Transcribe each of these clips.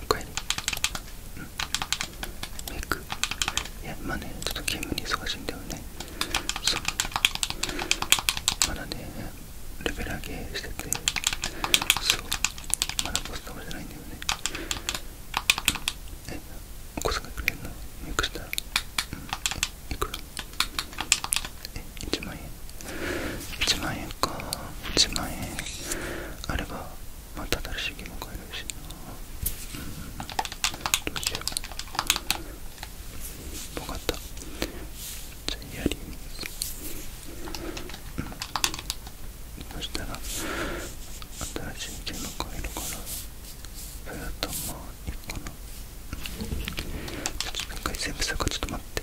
おかえりうんメイクいやま今ねちょっとゲームに忙しいんだよねそうまだねレベル上げしててそうまだポストじゃないんだよねえお小遣いくれるのミクしたら、うん、いくらえ1万円1万円か1万円あればまた新しいゲーム買えるしなうんどうしよう分かったじゃあやりうんそしたら新しいゲーム買えるからそだとまあいいかなちょっと一全部すかちょっと待って、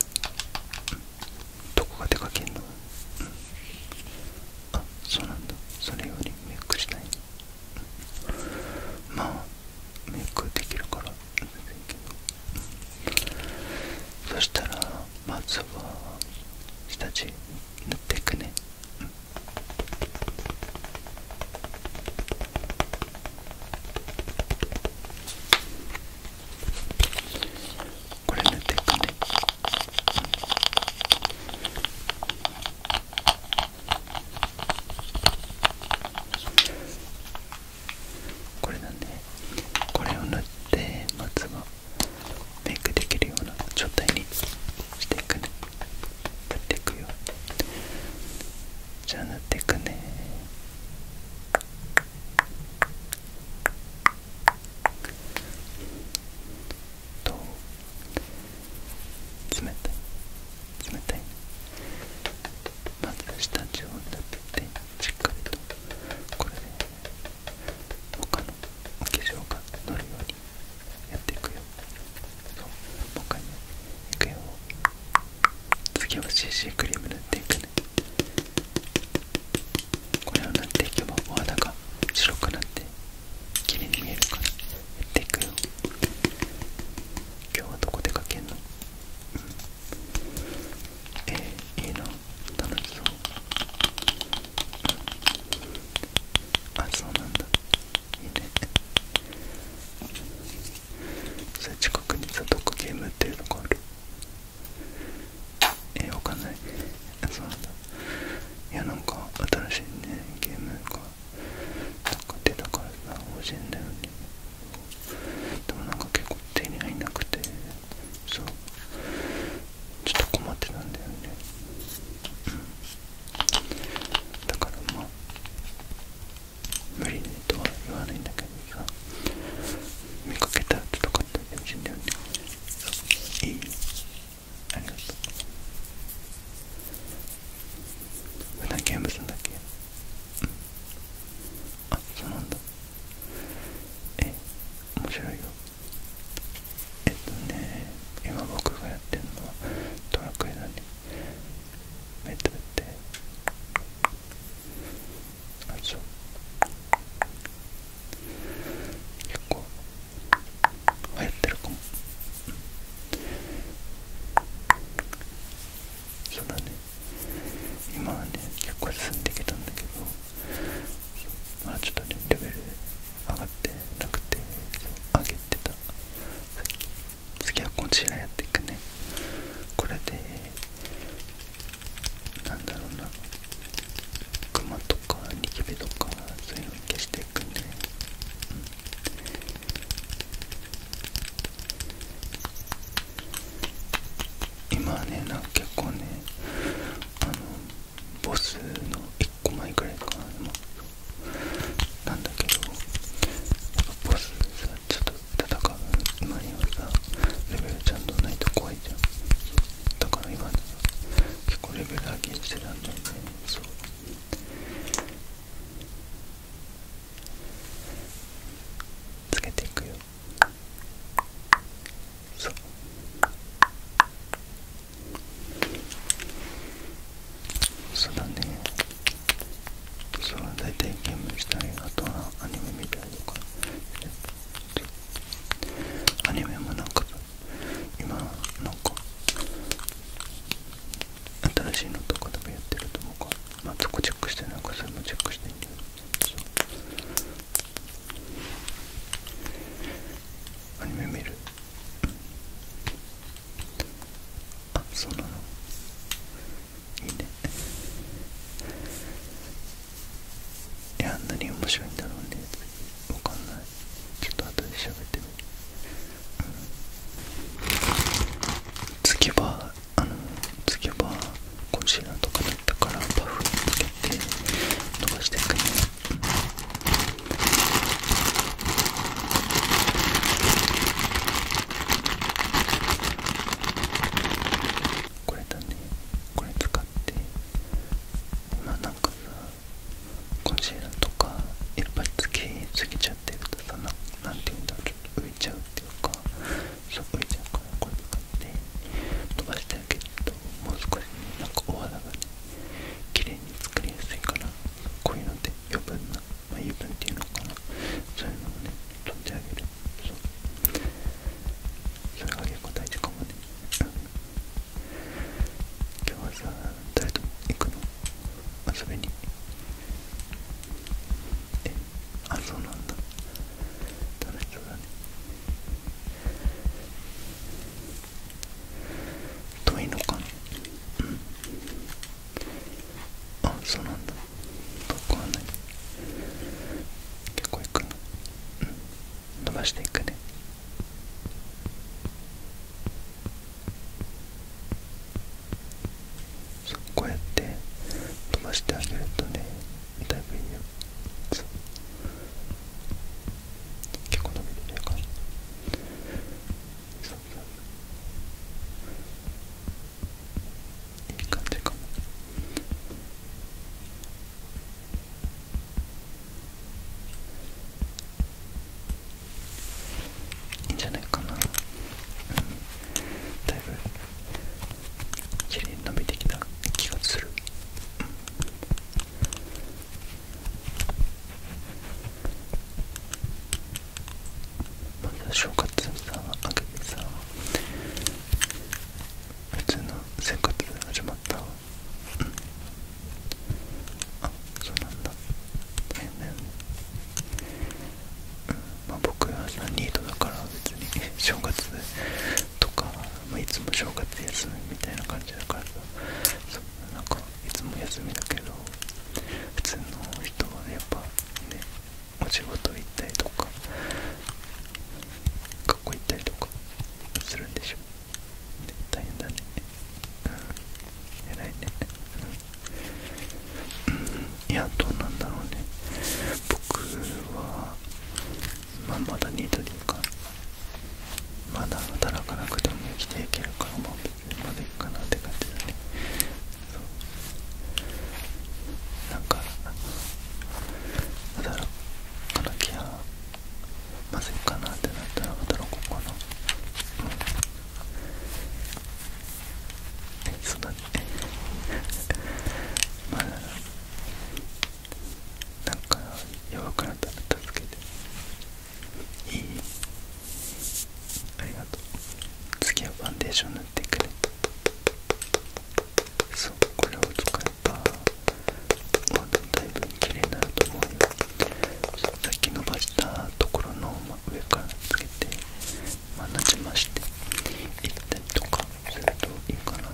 どこが出かけんの、うん、あそうなんだそれよりメイクしたいの、まあメイクできるからそしたらまずは下地塗っていくね、これ塗っていくねこれなんでこれを塗ってまずはメイクできるような状態にしていくね塗っていくよじゃあ塗っていくね冷たい冷たいまず下地を塗っててしっかりとこれで他の化粧が塗るようにやっていくよそうもう一回ねいくよ次は CC クリーム塗っていくねこれを塗っていけばお肌が白くなって綺麗に見えるからやっていくよ今日はどこ出かけんの、えん、えー、いいな楽しそう、うん、あそうなんだそれ近くにどっかゲームっていうのがあるえー、わかんないそうなんだいやなんか新しいねゲームがなんか出たからさ欲しいんだよねでもなんか結構手に入んなくてそうちょっと困ってたんだよねうんだからまあ無理ねとは言わないんだけどさ見かけたやつとかって言ってほしいんだよねいいありがとう普段ゲームするんだっけうんあそうなんだえ面白いよえっとね今僕がやってるのはドラクエだね目つぶってあそう結構流行ってるかも、そうだね今はね結構進んできたんだけどまあちょっとねレベル上がってなくて上げてた次はこちらやっていくねこれでなんだろうなクマとかニキビとかそういうの消していくね、うん、今ねなんか結構ねあのボスの1個前くらいかななんだけどボスさちょっと戦う今にはさレベルちゃんとないと怖いじゃんだから今結構レベル上げしてたんだよねそうつけていくよそうそうだねそうだいたいゲームしたいあとはアニメ見たりとかアニメもなんか今なんか新しいのとかでもやってると思うかまあそこチェックしてなんかそれもチェックしていいんだよそうアニメ見るあそうなのいいねいやあんなに面白いんだろうねわかんないちょっと後で喋ってみる、うん、次はあの次はコンシーラーとかだったからパフにつけて伸ばしていくねこれだねこれ使ってまあなんかさコンシーラーとかいっぱいつけすぎちゃってるとさ何ていうんだろうちょ浮いちゃうっていうかそう浮いちゃうからこれ使って飛ばしてあげるともう少し、なんかお肌がね綺麗に作りやすいかなこういうので余分な、まあ、油分っていうのかなそういうのもね取ってあげるそうそれは結構大事かもね、うん、今日はさ誰と行くの遊びにえあそうなんだ楽しそうだね遠いのかなうんあそうなんだ遠くはない結構行くなうん伸ばしていくねそうこうやって飛ばしてあげるとねだいぶいいよそう結構伸びてる感じそいい感じかもいいんじゃないかな、だいぶきれいに伸びてきた気がする、まず正月さ明けてさ普通の生活始まったわ、うん、あそうなんだ大変だよねうんまあ僕はさニートだから別に正月とか、まあ、いつも正月休みみたいな感じだからさそうなんかいつも休みだけど普通の人はやっぱねお仕事行ったりとか学校行ったりとかするんでしょ大変だねうん偉いねうんいやどうなんだろうね僕はまあまだニトリかまだ働かなくても生きていけるからもう別にまでいくかなって感じだねそうなんか働かなきゃまずいかなってなったら働こうかなうんえそうだまあなんか弱くなったら助けていいありがとう次はファンデーション塗ってくれそうこれを使えばもうだいぶ綺麗になると思うよさっき伸ばしたところの上からつけてまなじましていったりとかするといいかな、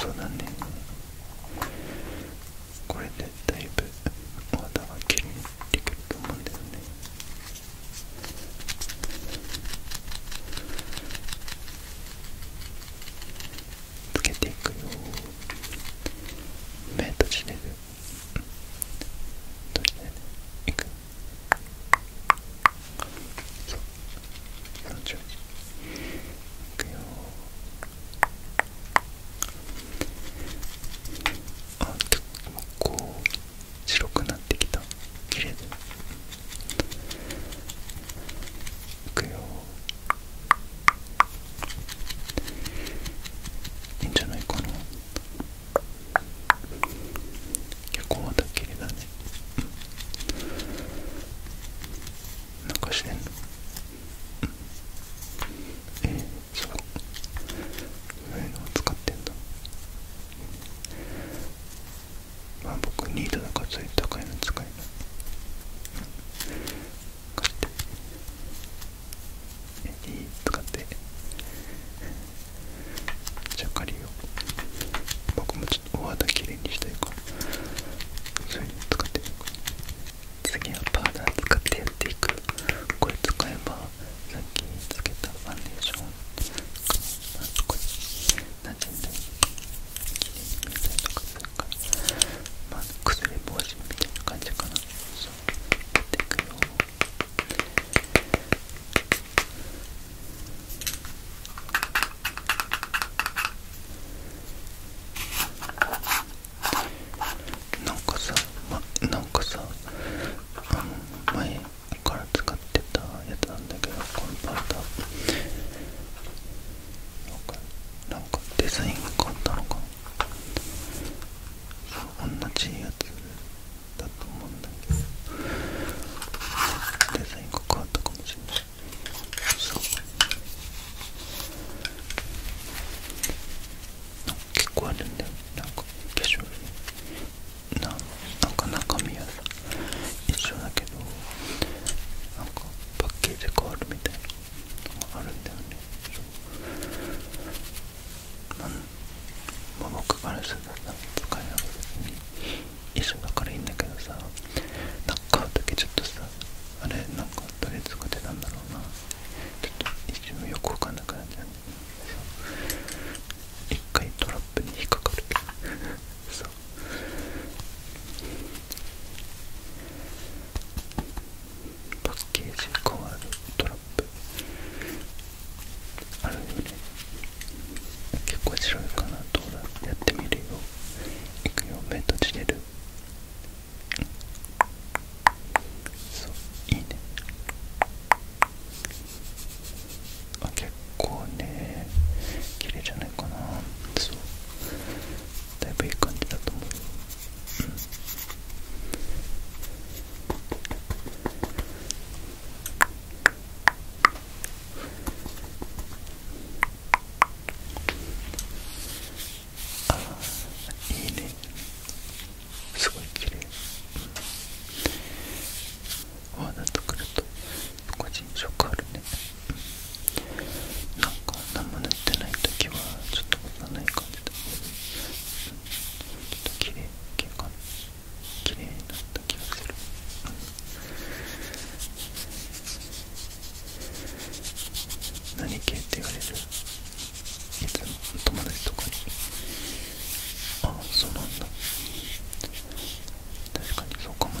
そうだねこれでだいぶお肌がきれいにできると思うんだよねつけていくよ目閉じれる閉じれるいくそう30いくよあこう白くなってきたきれいだいくよいいんじゃないかな結構また綺麗だねなんかしてんのえー、そうそういうのを使ってんだまあ僕ニートだからそういう高いの使えない借いい使ってじゃあ借りよう僕もちょっとお肌きれいにしたいからそれに使って次はパーダー使ってやっていくこれ使えばさっきつけたファンデーションがここになじんできれいに見せたりとかなんか、まあ、薬れ防止みたいな感じかなそうやていくよなんかさ、ま、なんかさあの前から使ってたやつなんだけどコンパウダーなんかデザインが変わったのかな同じやつだと思うんだけどデザインが変わったかもしれないそう結構あるんだよなんか化粧品ななんか中身はさ一緒だけどなんかパッケージ変わるみたいなあるんだよねまあ僕からすると使い分け別に一緒だからいいんだけどさなんか買う時ちょっとさあれなんかどれ使ってたんだろうなちょっと一瞬よくわかんなくなっちゃうんだ一回トラップに引っかかるそうパッケージ変わるトラップあるよね結構白いかなどうだやってみるよいくよ目閉じれるそういいねあ結構ね綺麗じゃないかなそうだいぶいい感じだと思う、うああいいねすごい綺麗、うお花とくると個人色あるねなんか何も塗ってない時はちょっとわかんない感じだちょっと綺麗結構綺麗になった気がする、何系って言われるいつも友達とかにああそうなんだ確かにそうかもね、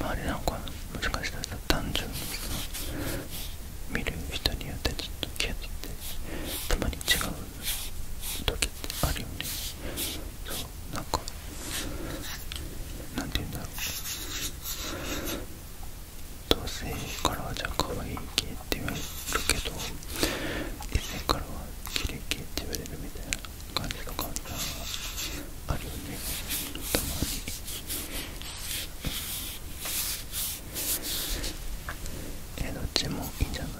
周りなんかもしかしたら単純に見る人によってちょっと気がついてたまに違う時ってあるよねそうなんかなんて言うんだろう同性からはじゃあ可愛い系って言われるけど異性からは綺麗系って言われるみたいな感じの感じがあるよねたまにえどっちもいいんじゃない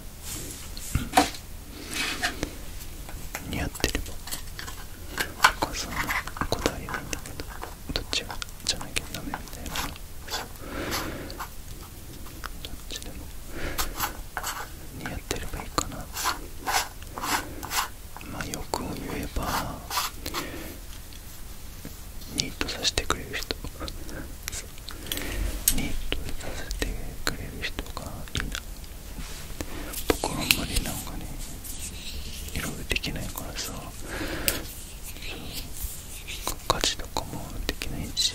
似合ってればお母さんの答えなんだけどどっちがじゃなきゃダメみたいなそどっちでも似合ってればいいかなま欲を言えばニートさせてくれる人ニートさせてくれる人がいいな僕はあんまりなんかねいろいろできないからさそ価値とかもできないし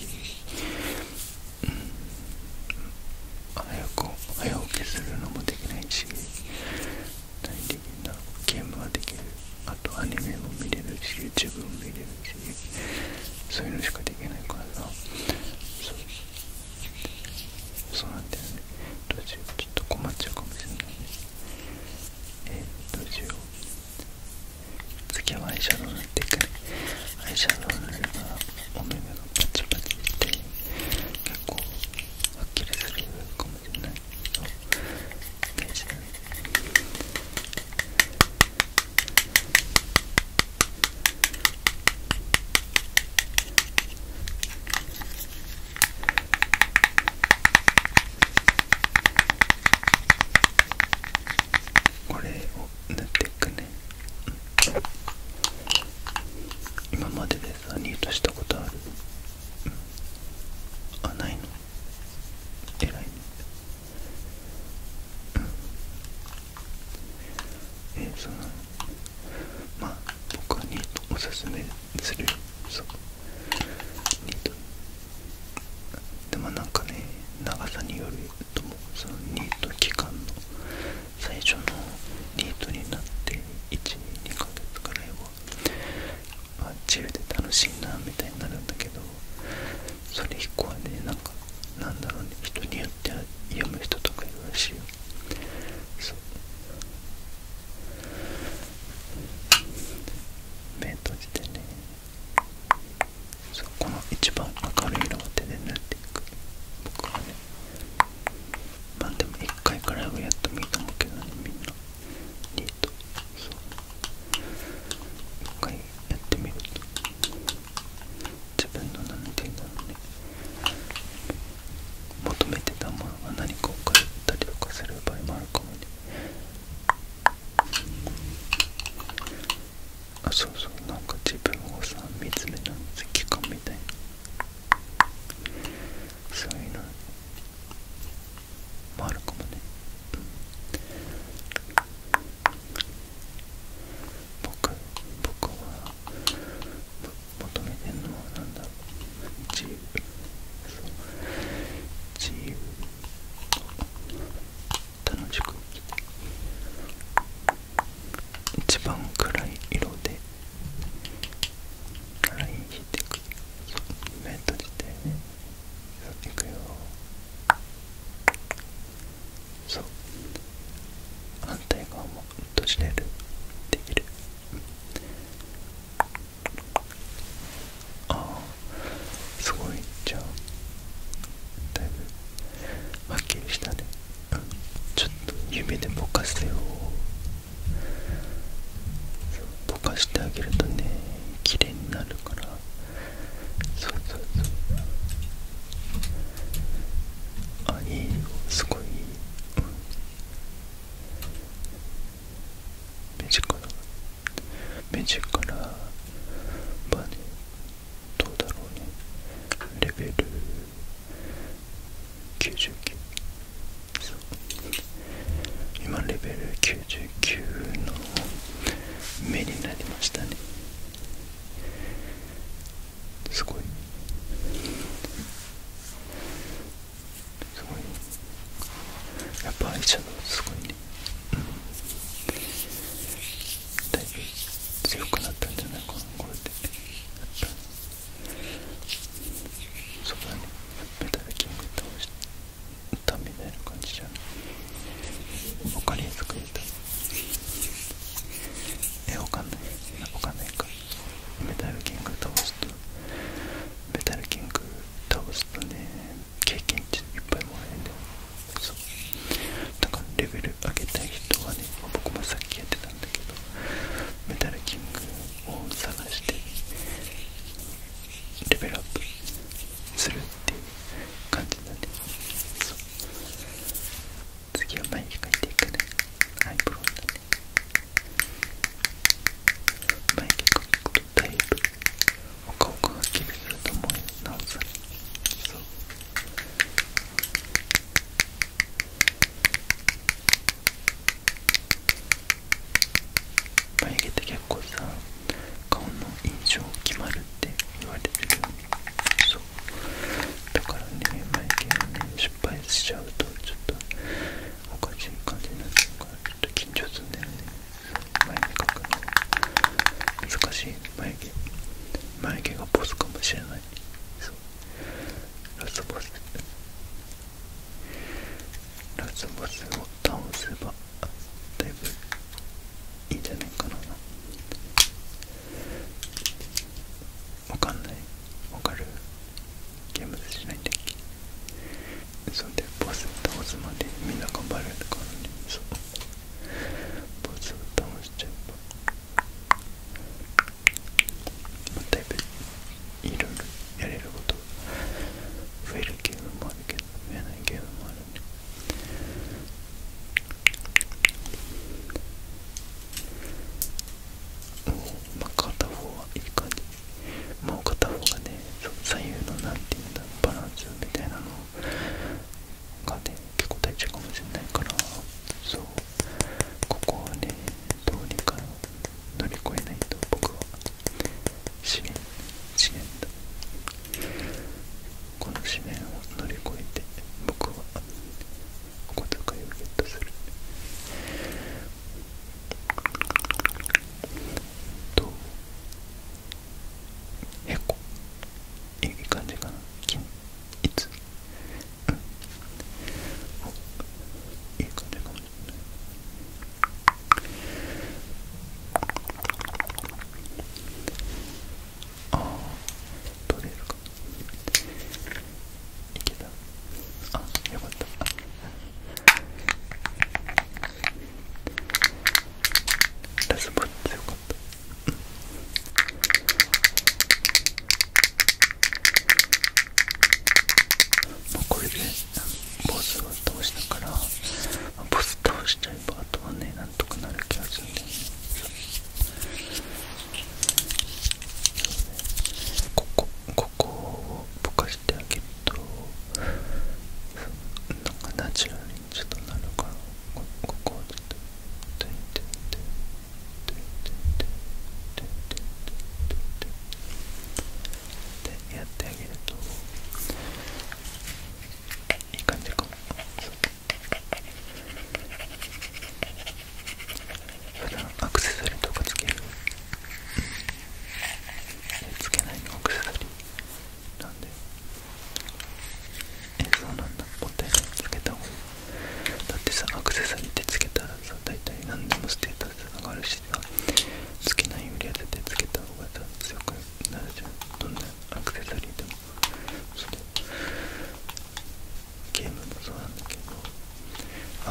うん早起きするのもできないし大的なゲームはできるあとアニメも見れるし YouTube も見れるしそういうのしかできないからさそうなんだよねどうしようちょっと困っちゃうかもしれないねえー、どうしよう次はアイシャドウなっていくアイシャドウなればお目目がパチパチして結構はっきりするかもしれないけどージを塗っていくね今まででデザニートしたことある、あないの偉いねえそのまあ僕はニートおすすめするよニートでもなんかね長さによるともそのニート期間の最初のニートになって12ヶ月くらいは、まあ、自由で楽しいなみたいになるんだけどそれ以降はねなんかなんだろうね人によっては読む人とかいるらしいよ目閉じてねそこの一番明るい色を手で塗っていく僕はねまあでも1回くらいはやってもいいと思うけどねみんなデートそう1回やってみると自分の何て言うんだろうね求めてたものが何かを変えたりとかする場合もあるかもねあそうそうなんか自分をさ見つめ直す期間みたいなそういうのもあるかもね僕僕は求めてるのはなんだろう自由楽しく一番暗い色でライン引いていく目閉じていくよそう反対側も閉じれるできるああすごいじゃあだいぶはっきりしたねちょっと夢でぼかせようぼかしてあげるとね綺麗になるからそうそうそうあいいすごい目力目力まあねどうだろうねレベル99そう今レベル99の目になりましたねすごいすごいやっぱ愛車のすごいね、だいぶ強くなったんじゃないかこれでやっぱそうだね。メタルキング倒した。歌みたいな感じじゃんオカ作りたいえわかんないわかんないかメタルキング倒すとメタルキング倒すとね経験値いっぱいもらえるんだよそうだからレベル上げたい人はね僕もさっきやってただけどメタルキングを探してレベルアップするっていう感じだねそ次は前に描いていくねアイブロウだね眉毛描くとだいぶお顔がはっすると思うよなおさらそう眉毛って結構さ顔の印象決まるって言われてるそうだからね眉毛失敗しちゃうとちょっとおかしい感じになっちゃうからちょっと緊張するんだよね眉毛描くの難しい眉毛眉毛がボスかもしれないラスボスラスボスを倒せばだいぶいいんじゃないかなわかんないわかるゲームしないんだそんでボス倒すまでみんな頑張れるからねボスを倒しちゃえばまあ、だいぶいろいろやれること増えるゲームもあるけど増えないゲームもあるんでおまあ片方はいい感じもう片方がね左右のなんていうんだバランスみたいなのがね結構大事かもしれないからそうここをねどうにか乗り越えないと僕は試ね、試ね。だこの試ねを乗り越えて僕はお小遣いをゲットするとへこいい感じかな金いついい感じかもしれないああ取れるかいけたあよかったラスボッチよかったまあ、これでボスを倒したから、ボス倒しちゃえばあとはねなんとかなる気がするんだよねここここをぼかしてあげるとなんかナチュラルにちょっとなるからここをちょっと。てててててててってやってあげるといい感じかも普段アクセサリーとかつけるつけないのアクセサリーなんでえそうなんだもったいつけた方がいいだってさアクセサリーってつけたらさ大体何でもステータス上がるしさつけないよりは絶対つけた方がさ強くなるじゃんどんなアクセサリーでもそうゲームもそうなんだけど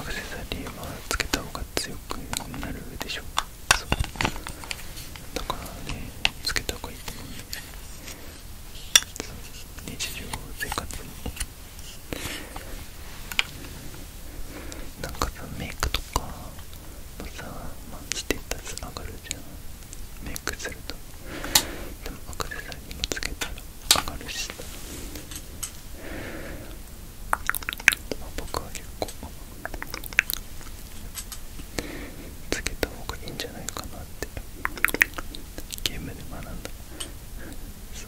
アクセサリーはつけた方が強くなるでしょそうだからねつけた方がいいと思うね日常生活もなんかさメイクとかもさ、まあ、ステータス上がるじゃんメイクするとでも明るさにリもつけたら上がるしさ、まあ、僕は結構つけた方がいいんじゃないかなってゲームで学んだそ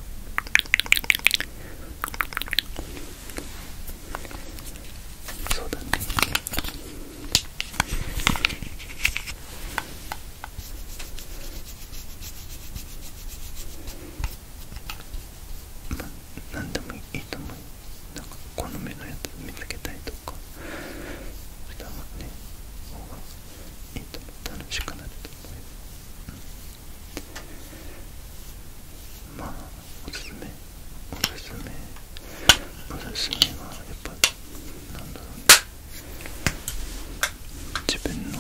うそうだねま何でもいいと思うなんか好みのやつ見つけたりとかしたもんねえっと楽しくなると思います、うまあおすすめおすすめおすすめはやっぱなんだろう自分の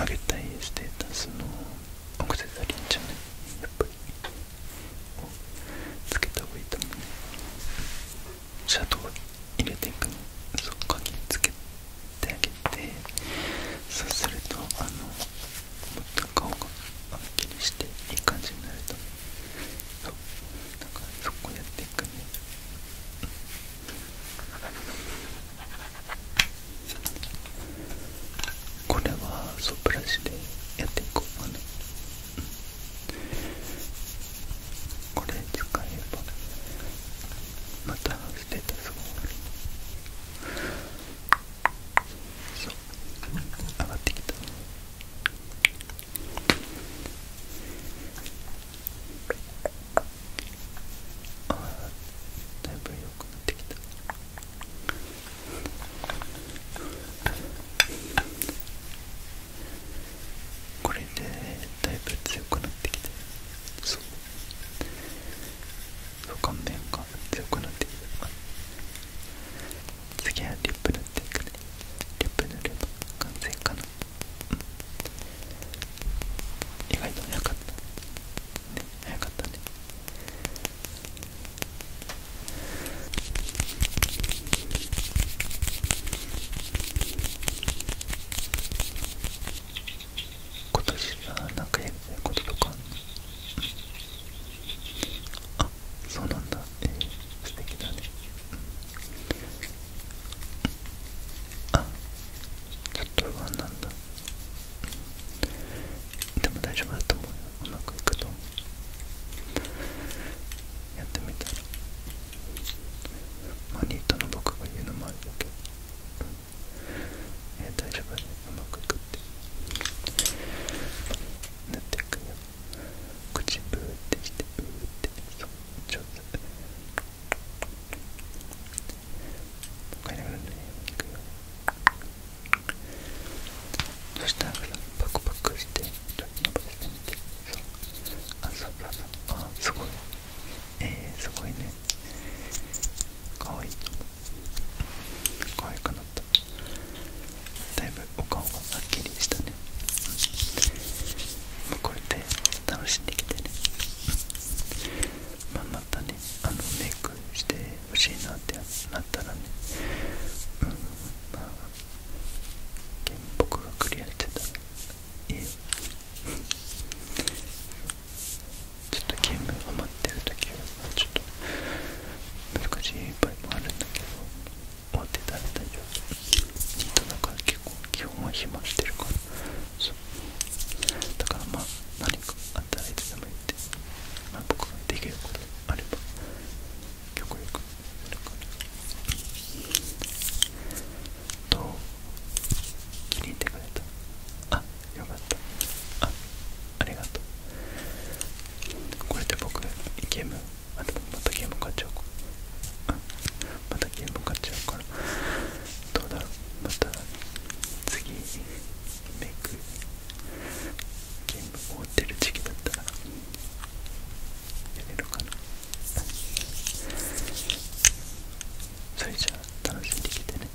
上げたいステータスのアクセサリーじゃないやっぱりをつけた方がいいと思うねシャドウ入れていくのそこにつけてあげてそうするとあのもっと顔がはっきりしていい感じになるとそうだからそこやっていくねこれはそうブラシでやっていこうかな、うんこれ使えばまたステータスがそう上がってきたああ。だいぶ良くなってきたこれでだいぶ強くなってきた。そうそう、顔面が強くなってきて次はリップ塗っていくねリップ塗れば完全かな意外と早かったね早かったね今年はなんかやってることとかあそうなんだえー、素敵だねあちょっとワンなんだでも大丈夫だと思うようまくいくと思うやってみたらマニートの僕が言うのもあるだけど、え大丈夫で、ね、うまくいくって塗っていくよ口ブーってしてブーってそう上手帰りがるんだいくよそしたらパクパクしてちょっと伸ばしてみてあそうそうそうあすごいえー、すごいねかわいいとかわいくなっただいぶお顔がはっきりしたね、うこうやって楽しんできてね、まあ、またねあのメイクしてほしいなってなったらねうんまあ僕がクリアしてたらえちょっとゲームハマってる時はちょっと難しい場合もあるんだけど終わってたら大丈夫ニートだか結構基本は暇してるからそうだからまあ何かあったらいも言まあ、僕ができることあれば極力どう気に入ってくれたあよかったあありがとうこれで僕ゲームまたまたゲーム買っちゃおうかまたゲーム買っちゃうからどうだろうまた次メイクゲーム終わってる時期だったらやれるかなそれじゃあ楽しんできてね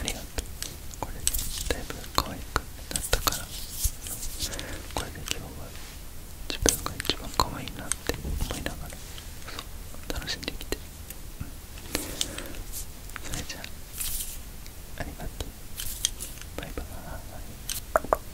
ありがとうこれでだいぶ可愛くなったからこれで今日は自分が一番可愛いなって思いながら楽しんできて、それじゃあありがとうバイバーイ